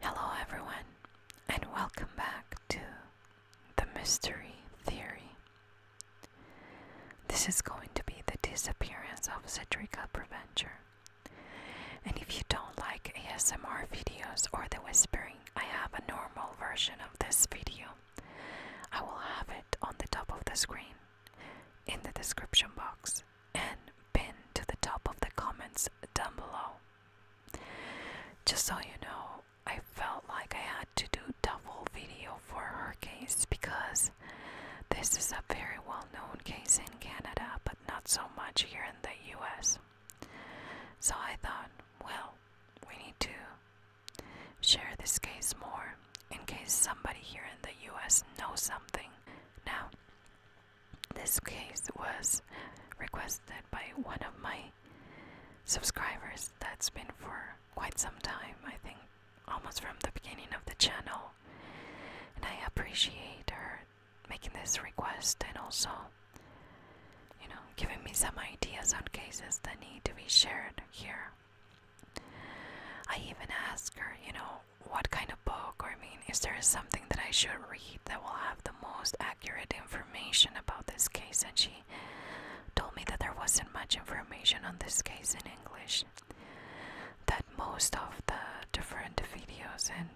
Hello, everyone, and welcome back to the Mystery Theory. This is going to be the disappearance of Citrica Preventure. And if you don't like ASMR videos or the whispering, I have a normal version of this video. I will have it on the top of the screen in the description box and pin to the top of the comments down below. Just so you know, I felt like I had to do double video for her case because this is a very well known case in Canada, but not so much here in the US. So I thought, well, we need to share this case more in case somebody here in the US knows something. Now, this case was requested by one of my subscribers that's been for quite some time, I think almost from the beginning of the channel. And I appreciate her making this request and also, you know, giving me some ideas on cases that need to be shared here. I even asked her, you know, what kind of book, or I mean, is there something that I should read that will have the most accurate information about this case? And she told me that there wasn't much information on this case in English, that most of the different videos and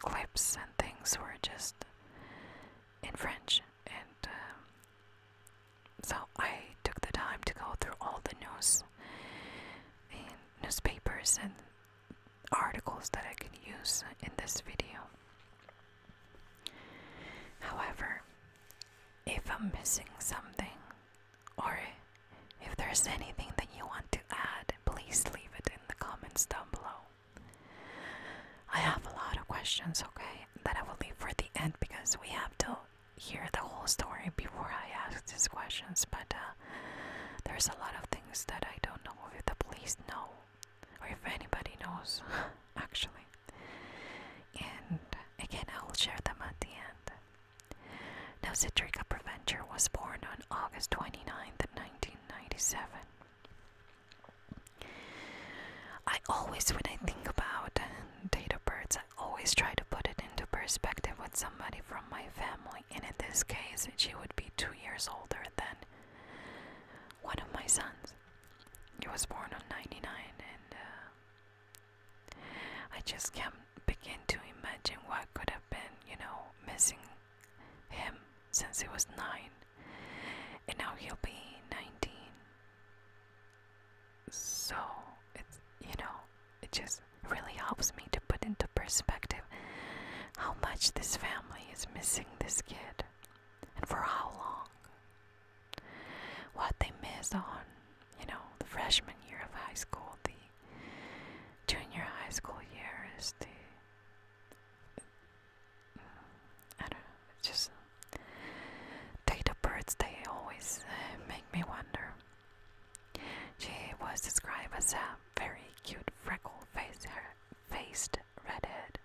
clips and things were just in French. And um, so I took the time to go through all the news in eh, newspapers and articles that I can use in this video. However, if I'm missing something or if there's anything that you want to add, please leave it in the comments down below. I have a lot of questions, okay, that I will leave for the end because we have to hear the whole story before I ask these questions. But uh, there's a lot of things that I don't know if the police know or if anybody knows, actually. And again, I will share them at the end. Now, Citrica Preventure was born on August 29th, 1997. I always, when I think about data birds, I always try to put it into perspective with somebody from my family and in this case, she would be two years older than one of my sons. He was born on 99, and uh, I just can't begin to imagine what could have been, you know, missing him since he was nine, and now he'll be 19. So, it's, you know, it just really helps me to put into perspective how much this family is missing this kid and for how long. What they miss on, you know, the freshman year of high school, the junior high school year is the. I don't know, just. Data birds, they always eh, make me wonder. She was described as a very cute freckle-faced redhead,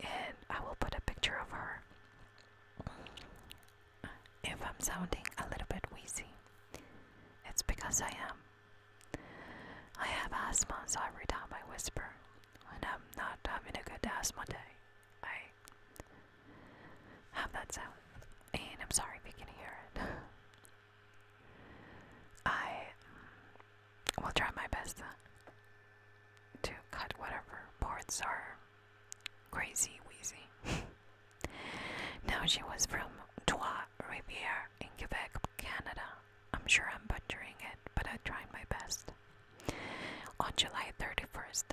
and I will put a picture of her. If I'm sounding a little bit wheezy, it's because I am. I have asthma, so every time I whisper, when I'm not having a good asthma day, I have that sound. And I'm sorry if you can hear it. I will try my best to cut whatever parts are crazy wheezy. now she was from Trois Rivières in Quebec, Canada. I'm sure I'm butchering it, but I tried my best. On July 31st,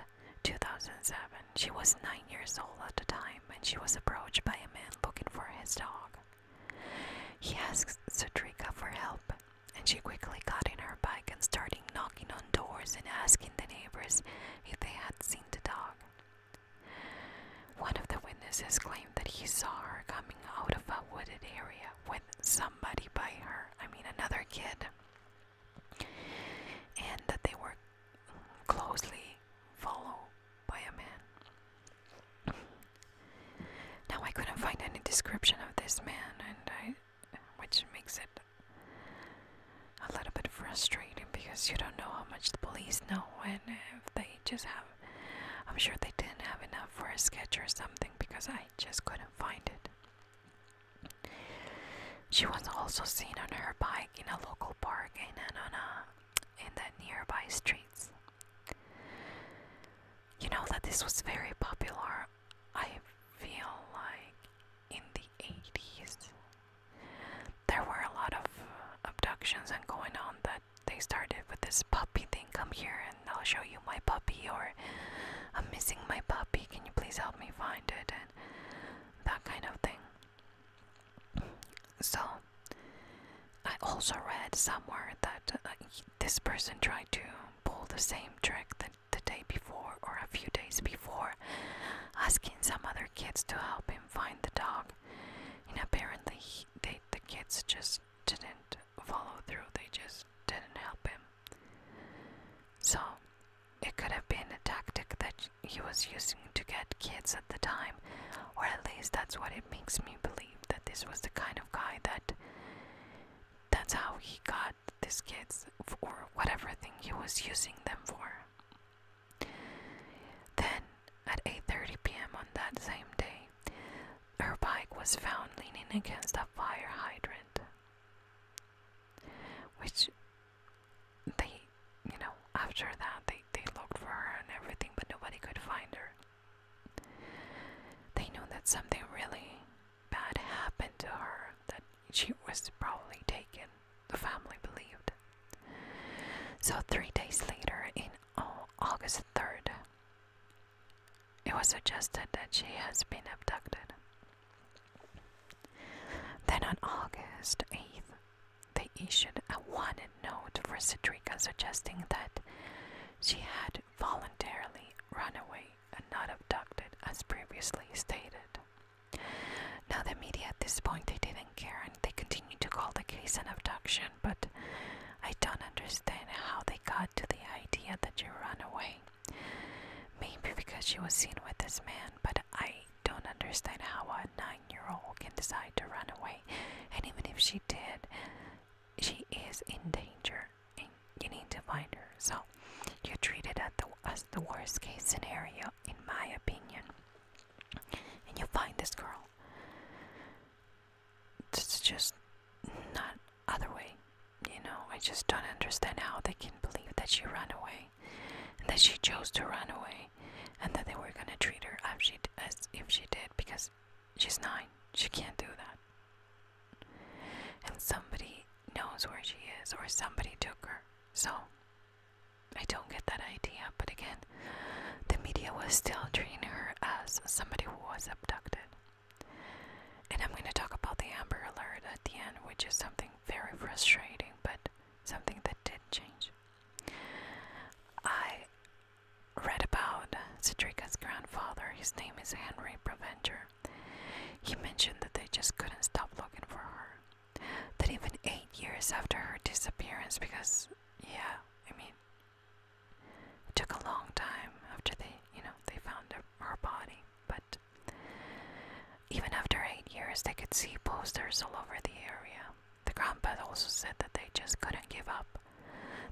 2007, she was 9 years old at the time time when she was approached by a man looking for his dog. He asked Sadrika for help, and she quickly got in her bike and started knocking on doors and asking the neighbors if they had seen the dog. One of the witnesses claimed that he saw her coming out of a wooded area with somebody by her, I mean another kid, and that they were closely followed by a oh, man. now I couldn't find any description of this man, and I, which makes it a little bit frustrating because you don't know how much the police know, and if they just have, I'm sure they didn't have enough for a sketch or something because I just couldn't find it. She was also seen on her bike in a local park in Anona in the nearby streets. You know that this was very popular, I feel like, in the 80s. There were a lot of uh, abductions and going on that they started with this puppy thing come here and I'll show you my puppy, or I'm missing my puppy, can you please help me find it? And that kind of thing. So, I also read somewhere that uh, this person tried to pull the same trick the, the day before or a few days before, asking some other kids to help him find the dog. And apparently, the kids just didn't follow through, they just didn't help him. So, it could have been a tactic that he was using to get kids at the time, or at least that's what it makes me believe that this was the kind of guy that that's how he got these kids for whatever thing he was using them for. Then at 8:30 p.m. on that same day, her bike was found leaning against a fire hydrant, which they, you know, after that they, they looked for her and everything, but nobody could find her. They knew that something really bad happened to her, that she was probably taken, the family believed. So, three days later, in oh, August 3rd, it was suggested that she has been abducted. Then on August 8th, they issued a wanted note for Citrica suggesting that she had voluntarily run away and not abducted as previously stated. Now, the media at this point they didn't care and they continued to call the case an abduction, but I don't understand how they got to the idea that she ran away. Maybe because she was seen with this man, but I don't understand how a nine year old can decide to run away. And even if she did, she is in danger and you need to find her. So you treat it as the worst case scenario, in my opinion. And you find this girl. It's just not other way. You know, I just don't understand how they can believe that she ran away that she chose to run away and that they were gonna treat her as, she, as if she did because she's nine. She can't do that. And somebody knows where she is, or somebody took her. So, I don't get that idea, but again, the media was still treating her as somebody who was abducted. And I'm going to talk about the Amber Alert at the end, which is something very frustrating, but something that did change. I read about Citrica's grandfather. His name is Henry Preventer. He mentioned that they just couldn't stop looking for her. That even eight years after her disappearance, because, yeah, I mean, it took a long time after they, you know, they found her body, but even after eight years, they could see posters all over the area the grandpa also said that they just couldn't give up.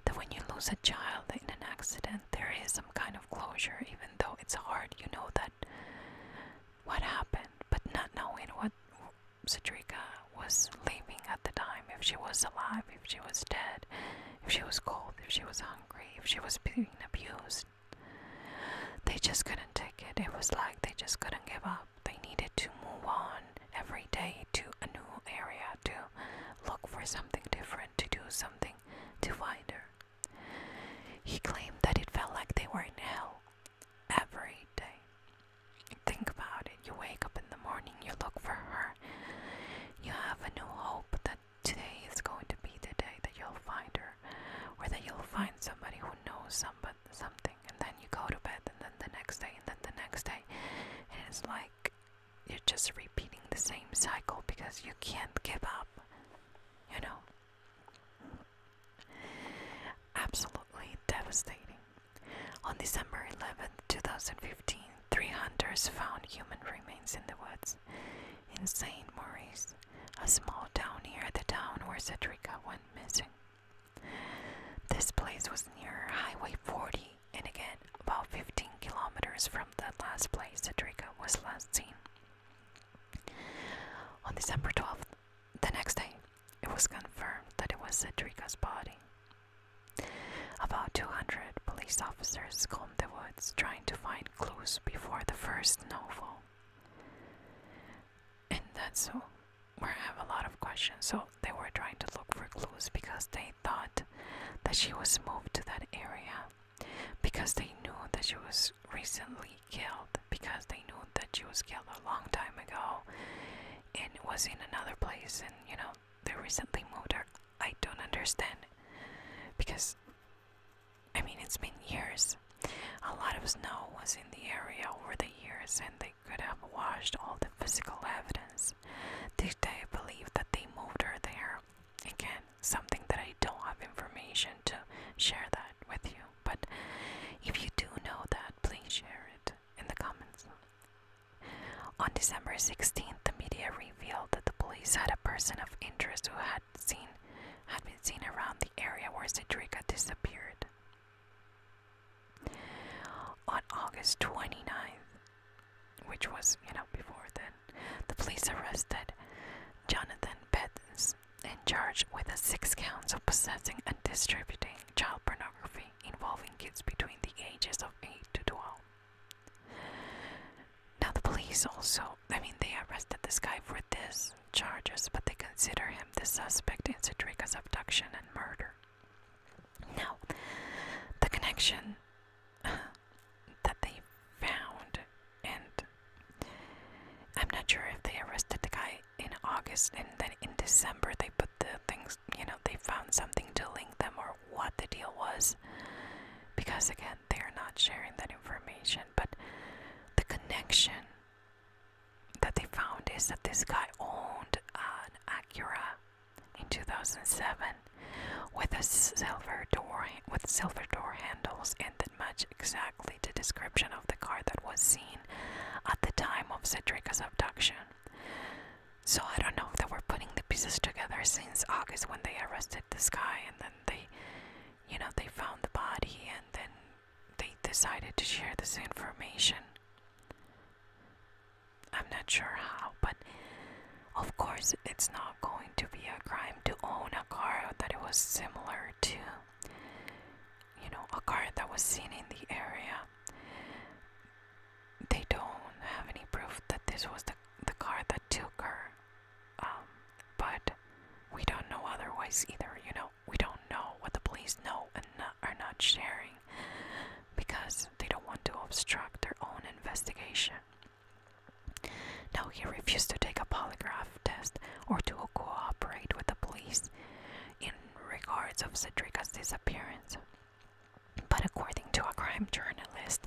That when you lose a child in an accident, there is some kind of closure, even though it's hard. You know that what happened, but not knowing what Cedrica was living at the time if she was alive, if she was dead, if she was cold, if she was hungry, if she was being abused. They just couldn't take it. It was like they just couldn't give up they needed to move on every day to a new area to look for something different, to do something to find her. He claimed that it felt like they were in hell every day. Think about it. You wake up in the morning, you look for her. You have a new hope that today is going to be the day that you'll find her, or that you'll find somebody who knows somebody something and then you go to bed and then the next day and then the next day it's like you're just repeating the same cycle because you can't give up you know absolutely devastating on december 11 2015 three hunters found human remains in the woods in st maurice a small town near the town where cedrica went missing this place was near Highway 40 and again about 15 kilometers from the last place Cedrica was last seen. On December 12th, the next day, it was confirmed that it was Cedrica's body. About 200 police officers combed the woods trying to find clues before the first snowfall. And that's all were have a lot of questions, so they were trying to look for clues because they thought that she was moved to that area because they knew that she was recently killed because they knew that she was killed a long time ago and was in another place and you know they recently moved her. I don't understand because I mean it's been years a lot of snow was in the area over the years, and they could have washed all the physical evidence. Did they believe that they moved her there? Again, something that I don't have information to share that with you, but if you do know that, please share it in the comments. On December 16th, the media revealed that the police had a person of interest who had seen had been seen around the area where Cedrica disappeared. On August 29th, which was, you know, before then, the police arrested Jonathan Betts and charged with a six counts of possessing and distributing child pornography involving kids between the ages of 8 to 12. Now, the police also, I mean, they arrested this guy for this charges, but they consider him the suspect in Citrica's abduction and murder. Now, the connection uh, that they found, and I'm not sure if they arrested the guy in August and then in December they put the things, you know, they found something to link them or what the deal was. Because again, they are not sharing that information, but the connection that they found is that this guy owned an Acura in 2007 with a silver door with silver door handles and that match exactly the description of the car that was seen at the time of Cedric's abduction. So I don't know if they were putting the pieces together since August when they arrested this guy and then they you know they found the body and then they decided to share this information. I'm not sure how, but of course, it's not going to be a crime to own a car that it was similar to, you know, a car that was seen in the area. They don't have any proof that this was the, the car that took her, um, but we don't know otherwise either, you know. We don't know what the police know and are not sharing because they don't want to obstruct their own investigation. Now, he refused to take a polygraph test or to cooperate with the police in regards of Cedric's disappearance. But according to a crime journalist,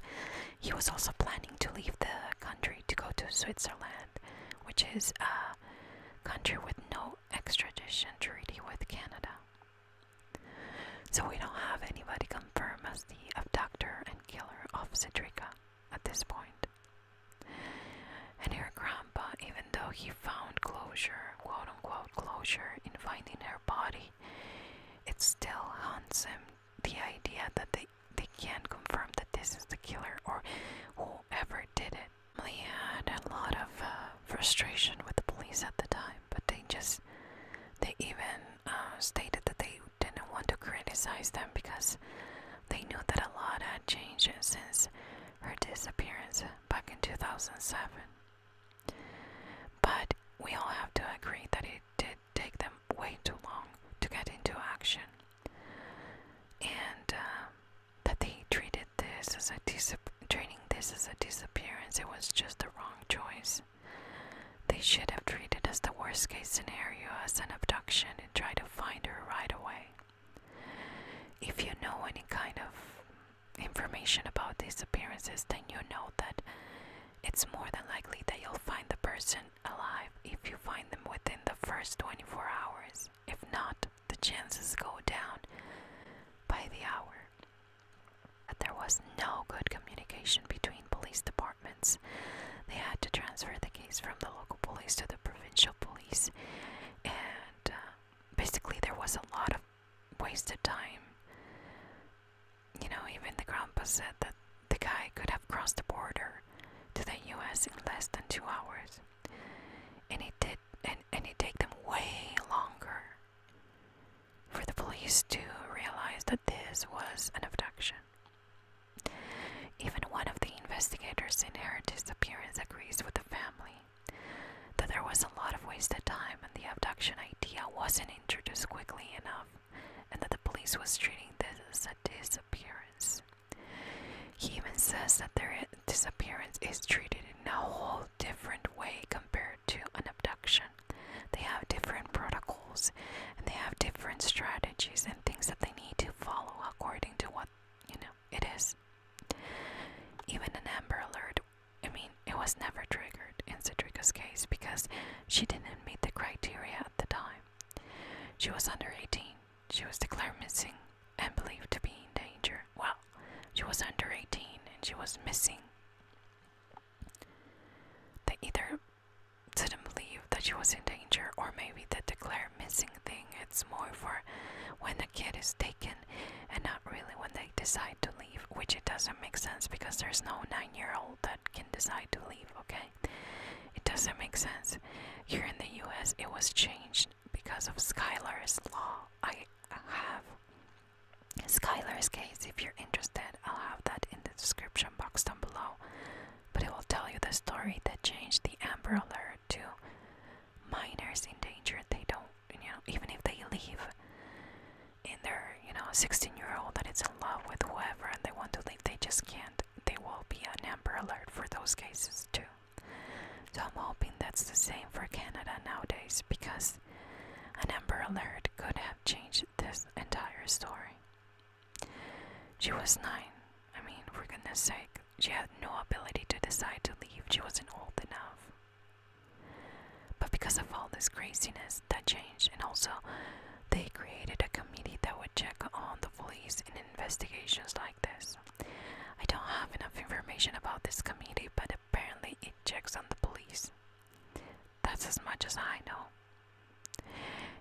he was also planning to leave the country to go to Switzerland, which is a country with no extradition treaty with Canada. So we don't have anybody confirm as the abductor and killer of Cedrica at this point. And her grandpa, even though he found closure, quote unquote closure, in finding her body, it still haunts him the idea that they, they can't confirm that this is the killer or whoever did it certainly had a lot of uh, frustration with the police at the time, but they just they even uh, stated that they didn't want to criticize them because they knew that a lot had changed since her disappearance back in 2007. But we all have to agree that it did take them way too long to get into action and uh, that they treated this is a dis treating this as a disappearance. It was just the wrong choice. They should have treated as the worst case scenario as an abduction and try to find her right away. If you know any kind of information about these appearances, then you know that it's more than likely that you'll find the person alive if you find them within the first 24 hours. If not, the chances go down by the hour. there was no good communication between police departments. They had to transfer the case from the local police to the provincial police, and uh, basically, there was a lot of wasted time. You know, even the grandpa said that the guy could have crossed the border to the US in less than two hours and it did and, it take them way longer for the police to realize that this was an abduction. Even one of the investigators in her disappearance agrees with the family that there was a lot of wasted time and the abduction idea wasn't introduced quickly enough and that the police was treating this as a disappearance. He even says that their disappearance is treated in a whole different way compared to an abduction. They have different protocols and they have different strategies and things that they need to follow according to what you know it is. Even an Amber Alert, I mean, it was never triggered in Citrica's case because she didn't meet the criteria at the time. She was under 18 she was declared missing and believed to be in danger. Well, she was under 18 and she was missing. They either didn't believe that she was in danger or maybe the declare missing thing it's more for when a kid is taken and not really when they decide to leave which it doesn't make sense because there's no nine-year-old that can decide to leave okay it doesn't make sense here in the US it was changed because of Skylar's law. I have Skylar's case. If you're interested, I'll have that in the description box down below. But it will tell you the story that changed the Amber Alert to minors in danger. They don't, you know, even if they leave in their, you know, 16 year old it's in love with whoever and they want to leave, they just can't. They will be an Amber Alert for those cases too. So I'm hoping that's the same for Canada nowadays because an Amber Alert could have changed this entire story. She was nine. I mean, for goodness sake, she had no ability to decide to leave. She wasn't old enough. But because of all this craziness, that changed, and also they created a committee that would check on the police in investigations like this. I don't have enough information about this committee, but apparently it checks on the police. That's as much as I know.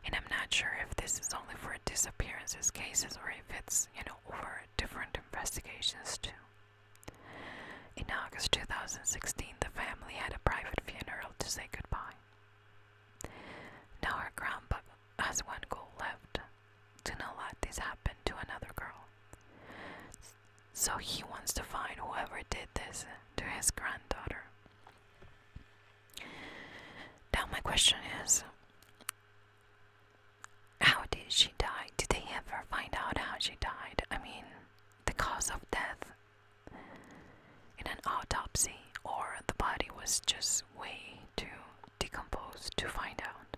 And I'm not sure if this is only for disappearances cases or if it's, you know, over different investigations too. In August 2016, the family had a private funeral to say goodbye. Now our grandpa has one goal left to not let this happen to another girl. So he wants to find whoever did this to his granddaughter. Now, my question is how did she die? Did they ever find out how she died? I mean, the cause of death in an autopsy, or the body was just way too decomposed to find out?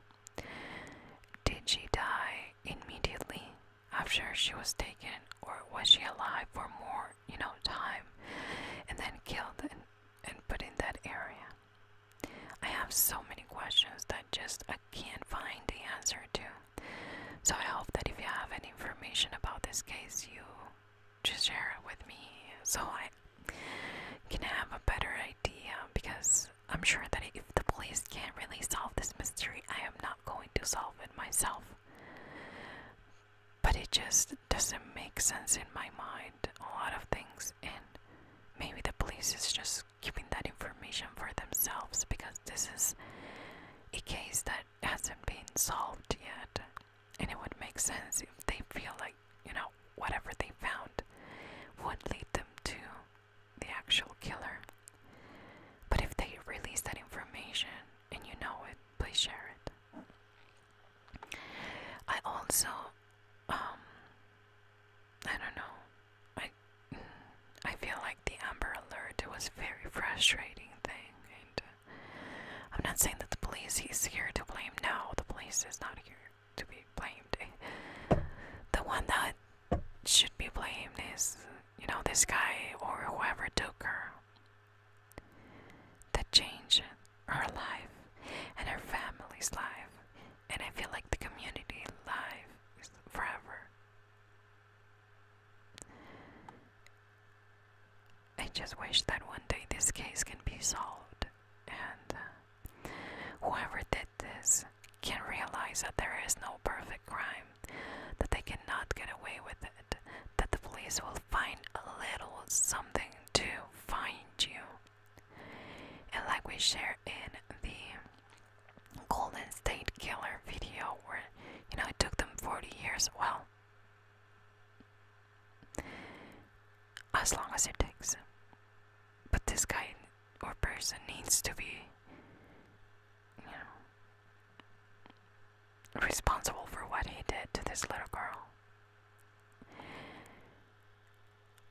Did she die immediately after she was taken, or was she alive for more, you know, time and then killed and, and put in that area? I have so many questions that just I can't find the answer to. So I hope that if you have any information about this case, you just share it with me so I, can have a better idea because I'm sure that if the police can't really solve this mystery, I am not going to solve it myself. But it just doesn't make sense in my mind, a lot of things, and maybe the police is just keeping that information for themselves because this is a case that hasn't been solved yet. And it would make sense if they feel like you know, whatever they found would lead them to the actual killer. But if they release that information and you know it, please share it. I also, um, I don't know, I, I feel like the Amber Alert It was a very frustrating thing, and uh, I'm not saying that the police is here to blame. No, the police is not here to be blamed. The one that should be blamed is, you know, this guy or whoever took her. That changed her life and her family's life, and I feel like the community life is forever. I just wish that one day this case can be solved and uh, Whoever did this can realize that there is no perfect crime, that they cannot get away with it, that the police will find a little something to find you. And like we share in the Golden State Killer video, where you know it took them 40 years, well, as long as it takes but this guy or person needs to be, you know, responsible for what he did to this little girl.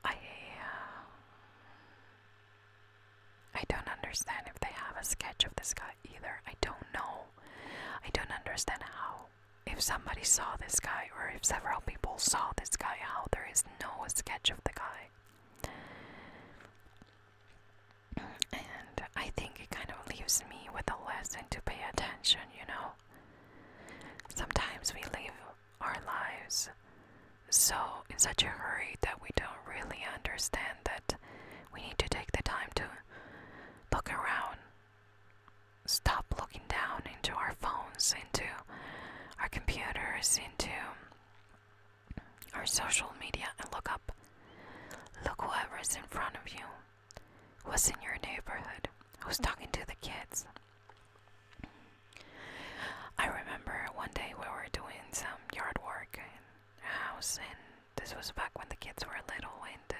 I, uh, I don't understand if they have a sketch of this guy either. I don't know. I don't understand how. If somebody saw this guy guy, or if several people saw this guy, how there is no sketch of the guy. And I think it kind of leaves me with a lesson to pay attention, you know? Sometimes we live our lives so in such a hurry that we don't really understand that we need to take the time to look around stop looking down into our phones, into our computers, into our social media and look up. Look whoever's in front of you, who's in your neighborhood, who's talking to the kids. I remember one day we were doing some yard work in the house, and this was back when the kids were little, and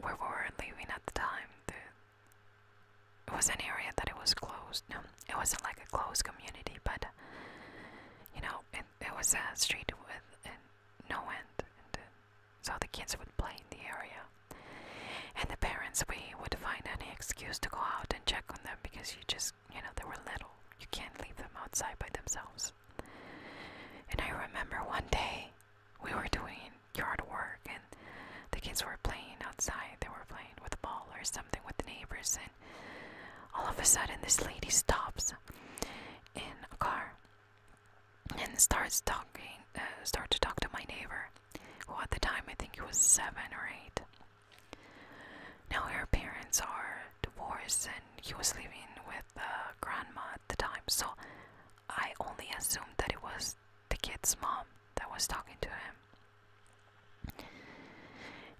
where uh, we were living at the time, it was an area that it was closed. No, it wasn't like a closed community, but you know, it, it was a street with no end. And, uh, so the kids would play in the area. And the parents, we would find any excuse to go out and check on them because you just, you know, they were little. You can't leave them outside by themselves. And I remember one day we were doing yard work and the kids were playing outside. They were playing with a ball or something with the neighbors and all of a sudden this lady stops in a car and starts talking uh, start to talk to my neighbor who at the time I think he was seven or eight. Now her parents are divorced and he was living with uh, grandma at the time so I only assumed that it was the kid's mom that was talking to him.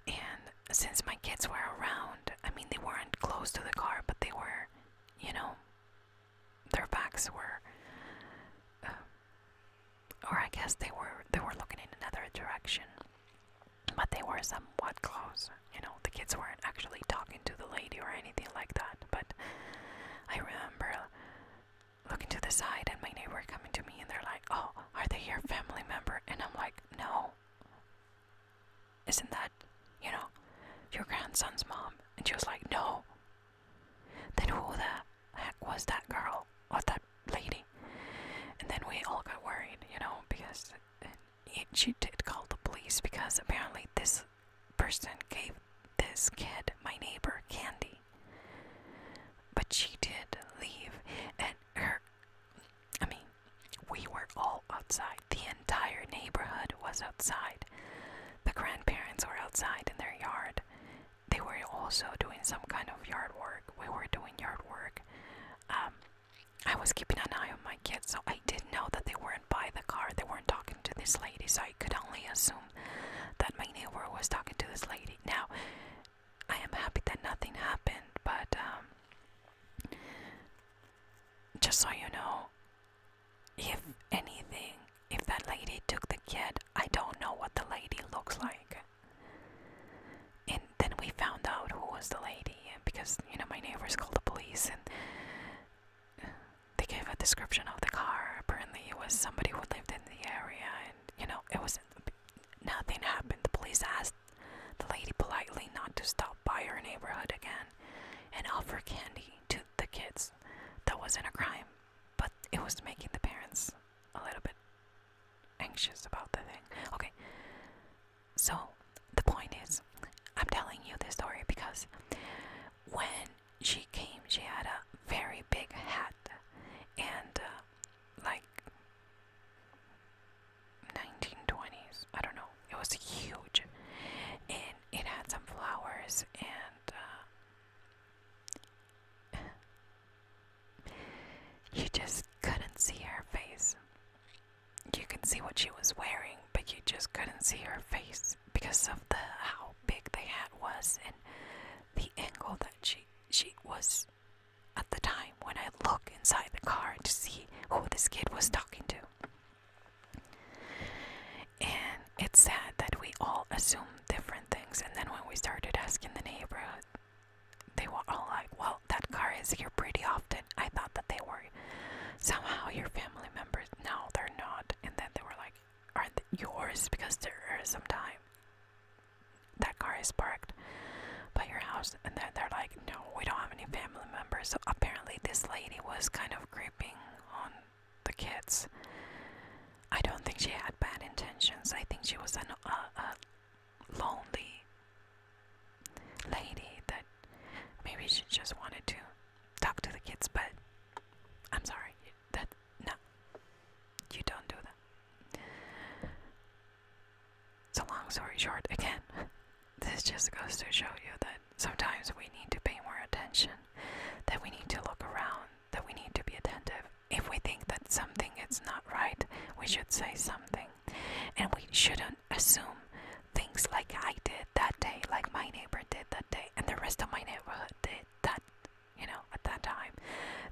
And since my kids were around, I mean, they weren't close to the car, but they were, you know, their backs were, uh, or I guess they were they were looking in another direction, but they were somewhat close. You know, the kids weren't actually talking to the lady or anything like that. But I remember looking to the side and my neighbor coming to me and they're like, "Oh, are they your family member?" And I'm like, "No." Isn't that, you know, your grandson's mom? And she was like, "No." Then who the heck was that girl or that lady? And then we all got worried, you know, because it, she did call the police because apparently this person gave this kid, my neighbor, candy. But she did leave, and her, I mean, we were all outside. The entire neighborhood was outside. The grandparents were outside in their yard. They were also doing some kind of yard work. We were doing yard work. Um, I was keeping an eye on my kids, so I did know that they weren't by the car. They weren't talking to this lady, so I could only assume that my neighbor was talking to this lady. Now, I am happy that nothing happened, but um, just so you know, if anything, if that lady took the kid, I don't know what the lady looks like. And then we found out who was the lady because, you know, my neighbors called the police and they gave a description of the car. Apparently, it was somebody who lived in the area, and you know, it was nothing happened. The police asked the lady politely not to stop by her neighborhood again and offer candy to the kids. That wasn't a crime, but it was making the parents a little bit anxious about the thing. Okay, so the point is, I'm telling you this story because when she came, she had a very big hat and uh, like 1920s. I don't know. It was huge, and it had some flowers and. Uh, you just couldn't see her face. You can see what she was wearing, but you just couldn't see her face because of the how big the hat was and the angle that she she was at the time when I look inside the car to see who this kid was talking to. And it's sad that we all assume different things and then when we started asking the neighborhood they were all like, Well, that car is here pretty often. I thought that they were somehow your family members. No, they're not. And then they were like, aren't yours because there is some time that car is parked by your house and then they're like no we don't have any family members so apparently this lady was kind of creeping on the kids i don't think she had bad intentions i think she was a lonely lady that maybe she just wanted to talk to the kids but i'm sorry that no, you don't do that. So long story short, again, this just goes to show you that sometimes we need to pay more attention, that we need to look around, that we need to be attentive. If we think that something is not right, we should say something. And we shouldn't assume things like I did that day, like my neighbor did that day, and the rest of my neighborhood did it that you know at that time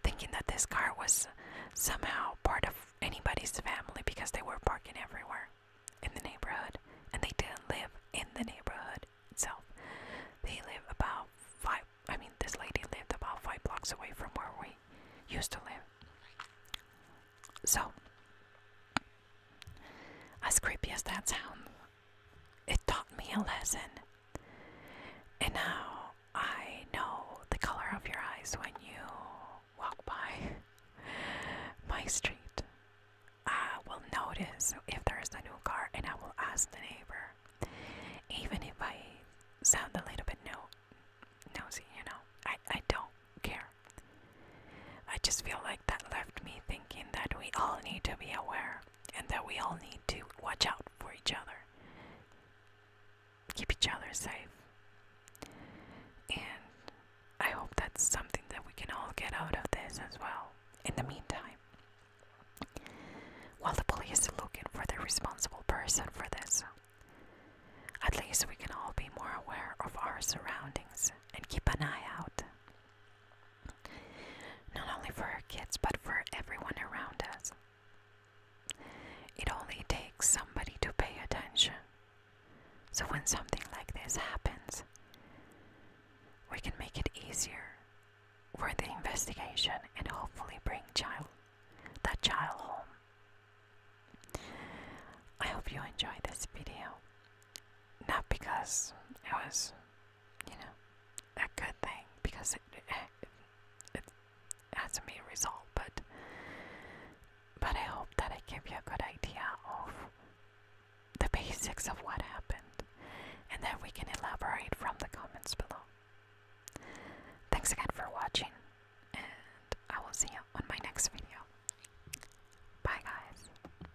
thinking that this car was somehow part of anybody's family because they were parking everywhere in the neighborhood and they didn't live in the neighborhood itself they live about five i mean this lady lived about five blocks away from where we used to live so as creepy as that sounds it taught me a lesson. And now I know the color of your eyes when you walk by my street. I will notice if there's a new car and I will ask the neighbor. Even if I sound a little bit no nosy, you know. I, I don't care. I just feel like that left me thinking that we all need to be aware and that we all need to watch out for each other, keep each other safe. And I hope that's something that we can all get out of this as well. In the meantime, while the police is looking for the responsible person for this, at least we can all be more aware of our surroundings and keep an eye out. Not only for our kids, but for everyone around us. It only takes somebody to pay attention. So when something like this happens, we can make it easier for the investigation and hopefully bring child that child home. I hope you enjoyed this video. Not because it was you know, a good thing because it, it, has a mean result, but, but I hope that I give you a good idea of the basics of what happened, and that we can elaborate from the comments below. Thanks again for watching, and I will see you on my next video. Bye, guys.